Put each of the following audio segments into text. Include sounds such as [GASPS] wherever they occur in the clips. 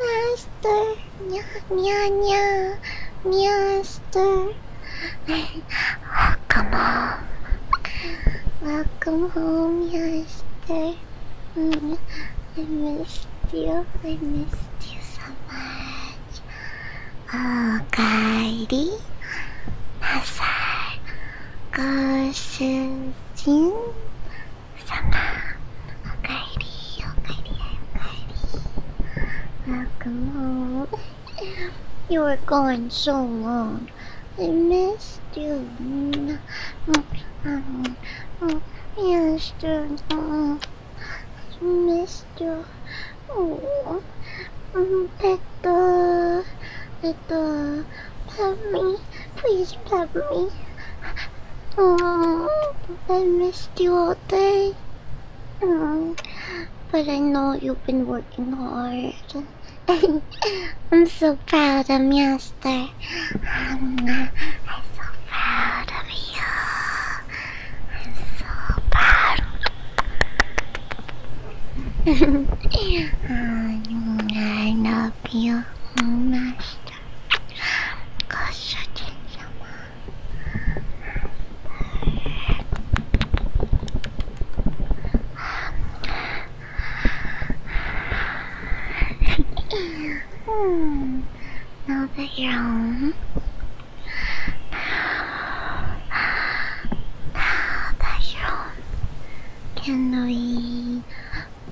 Master, nya nya nya, Master. Welcome home. Welcome home, Master. I missed you. I missed you so much. Oh, Kairi, Masai. I'm Sama. Okaeri, okaeri, okaeri. Welcome home. You were gone so long. I missed you. Yes, dude. I missed you. Oh, Peppa. I Papa, love me, please love me. Oh, I missed you all day. but I know you've been working hard. [LAUGHS] I'm so proud of Master. i I'm so proud of you. I'm so proud. I love you, master. Hmm, now that you're home. Now that you're home. Can we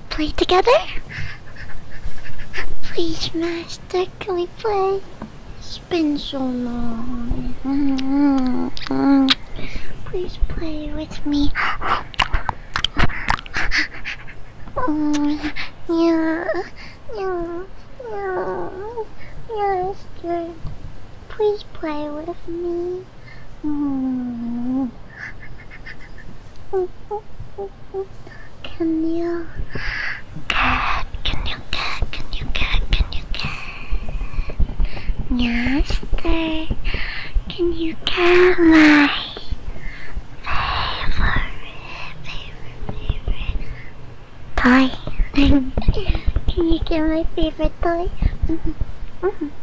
play together? Please, Master, can we play? It's been so long. Please play with me. Yeah, yeah, yeah, Master. Please play with me. Can you get? Can you get? Can you get? Can you get? Master, can you get my favorite, favorite, favorite toy? can you get my favorite toy? Mm-hmm. Mm-hmm.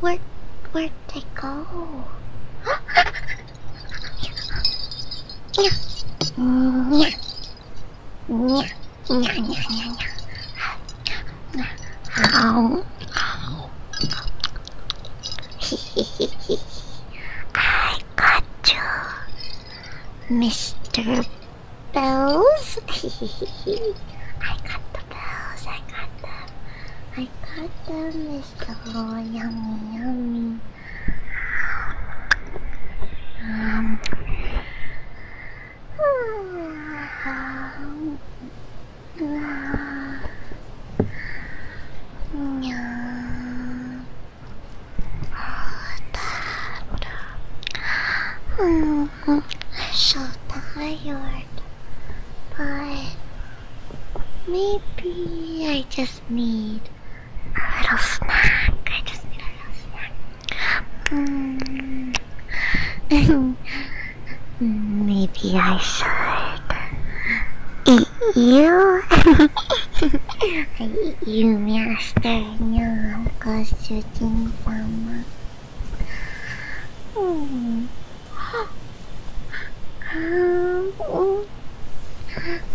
Where, where'd they go? How? I got you, Mr bells. [LAUGHS] I got the bells. I got them. I got them, Mr. Oh, yummy, yummy. Oh, Dad. Oh, I'm so tired. But maybe I just need a little snack. I just need a little snack. Mm. [LAUGHS] maybe I should eat you. [LAUGHS] I eat you, Master. にゃーご主人様うんうん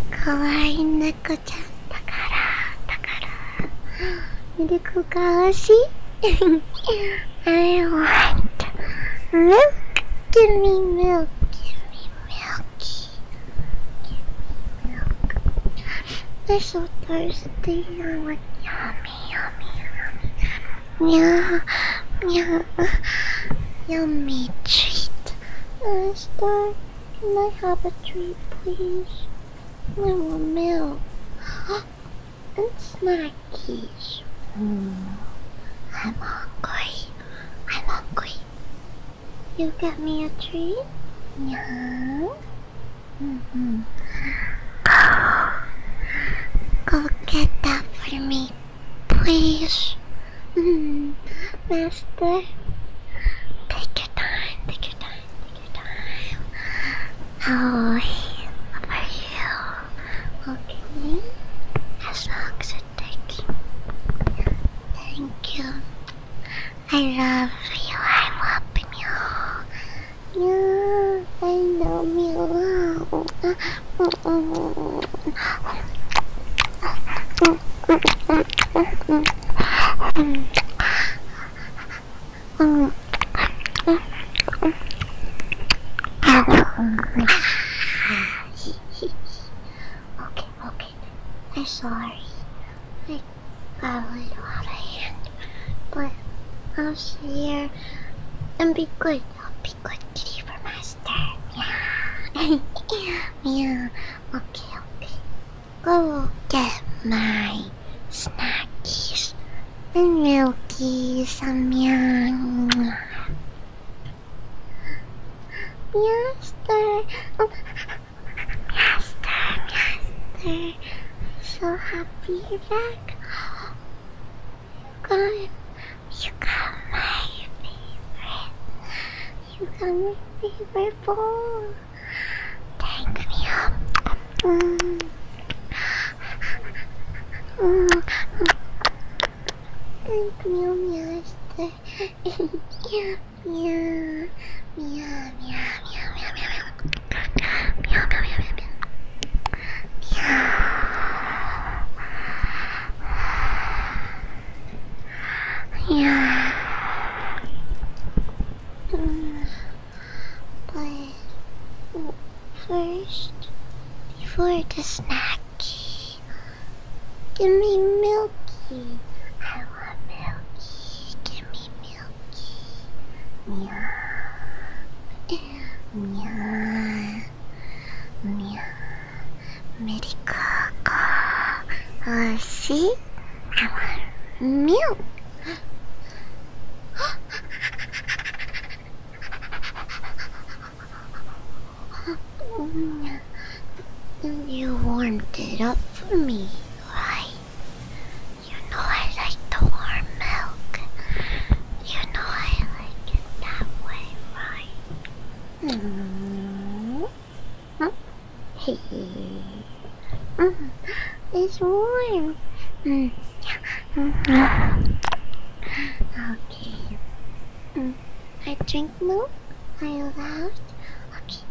かわいい猫ちゃんだからだからミルクが欲しい I want milk give me milk give me milk give me milk They're so thirsty. I'm Yummy, yummy, yummy. Yeah, yeah. Yummy treat. I'm uh, Star, can I have a treat, please? I want milk. [GASPS] and snackies. Mm. I'm hungry. I'm hungry. You get me a treat? Yeah. Mm-hmm. Go get that for me, please. -hmm. Master, take your time, take your time, take your time. I'll you, okay? As long as it takes. Thank you. I love you. I love you. Yeah, I love you. okay, okay. I'm sorry. I I probably not a hand, but I'll sit here and be good. I'll be good kitty for master. Yeah. [LAUGHS] yeah. Okay, okay. Go get my snackies and milkies and meow. Master. Master, Master, I'm so happy you're back. You got, you got my favorite. You got my favorite bowl. Thank me up. Mm. Mm. Thank you, Master. [LAUGHS] yeah meow, meow, meow, meow, meow, meow, meow, meow, meow, meow. Yeah. Yeah. Mm. But first, before the snack, give me milky. I want milky. Give me milky. Uh, see? I want milk. You warmed it up for me, right? You know I like the warm milk. You know I like it that way, right? Mm -hmm. Hey. Mm. It's warm. Mm. Mm-hmm. Yeah. okay. Mm. I drink milk. I love. Okay.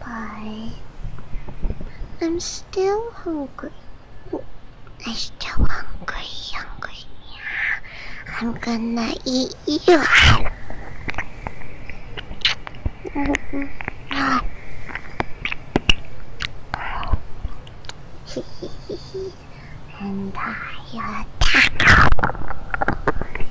Bye. I'm still hungry. I'm still hungry, hungry. I'm gonna eat you. [LAUGHS] and I attack.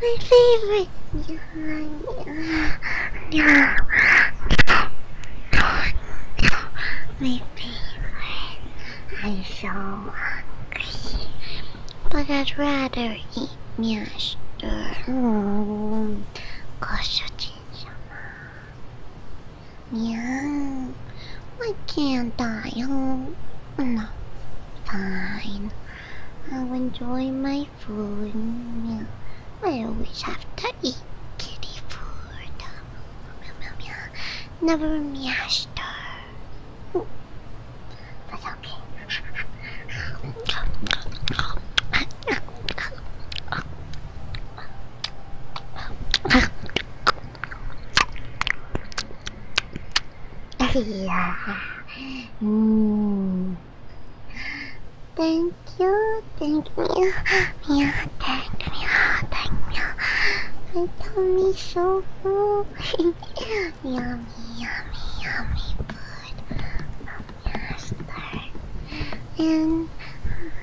My favorite. My favorite. I'm so hungry. But I'd rather eat miaster. Mm. yeah. I can't die. Oh, no. Fine. I'll enjoy my food meow. I always have to eat kitty food. Never meowster. That's okay. yeah. Mm. Thank you, thank me, yeah, thank me, thank me. [LAUGHS] My tummy so full. yummy, yummy, yummy food. Master. And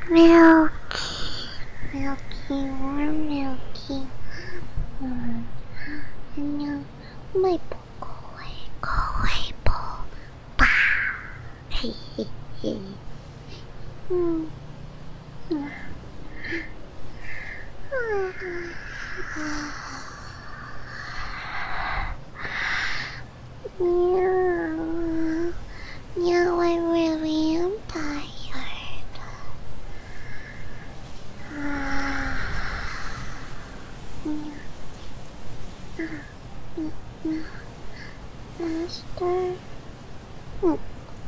milky, milky, warm milky. Mm. And now my away, away, ball. Now, now I really am tired. Master. Oh,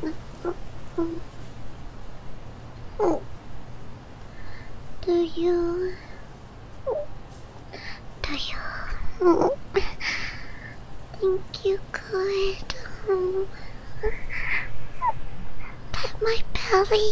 oh, oh. Do you? Do you? Think you could um, my belly?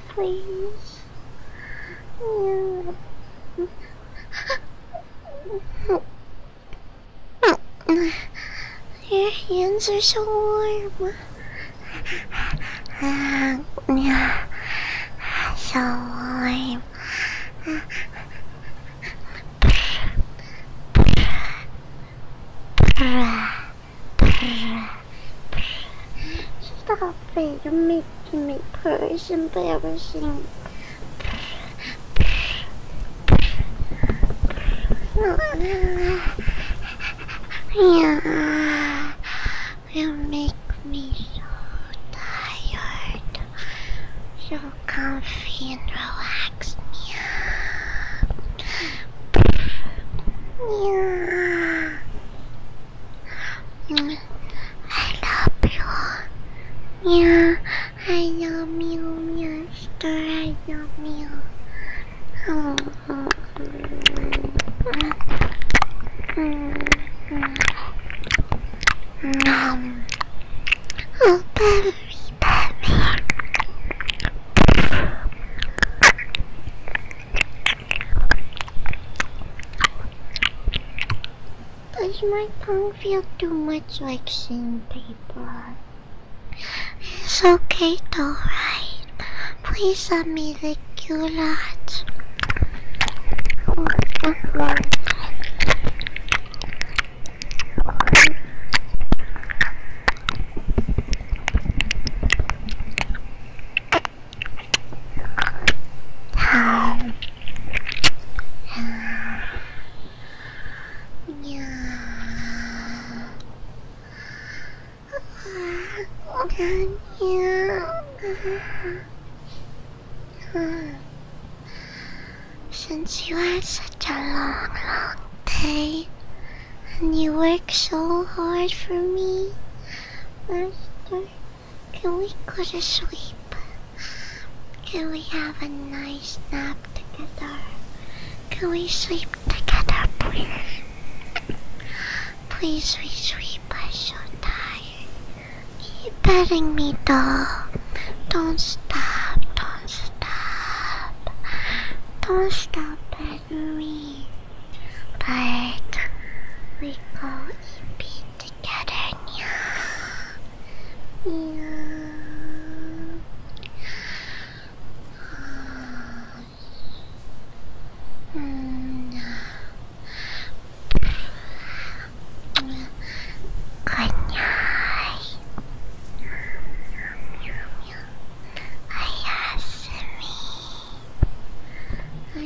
me, please. [LAUGHS] Your hands are so warm. [LAUGHS] So warm. [LAUGHS] Stop you're making me purr, it's embarrassing. Yeah, you make me so tired, so comfy and relaxed. Yeah. yeah. I love you. Yeah, I love you, mister. I love you. Oh. Um. Oh, baby, baby. Does my tongue feel too much like sandpaper? It's okay though, right? Please send me the culottes. How? Yeah. Okay. Yeah. Since you had such a long, long day, and you work so hard for me. Master, can we go to sleep? Can we have a nice nap together? Can we sleep together, please? Please, we sleep. I'm so tired. Keep petting me, though. Don't stop. Don't stop. Don't stop we but we can't be together now. No. Good night. I have me. おや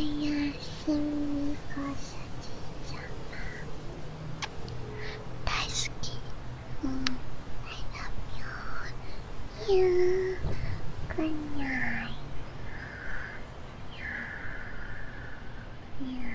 すみこさきちゃま大好きうん大好きよーくにゃいゆゆう。う。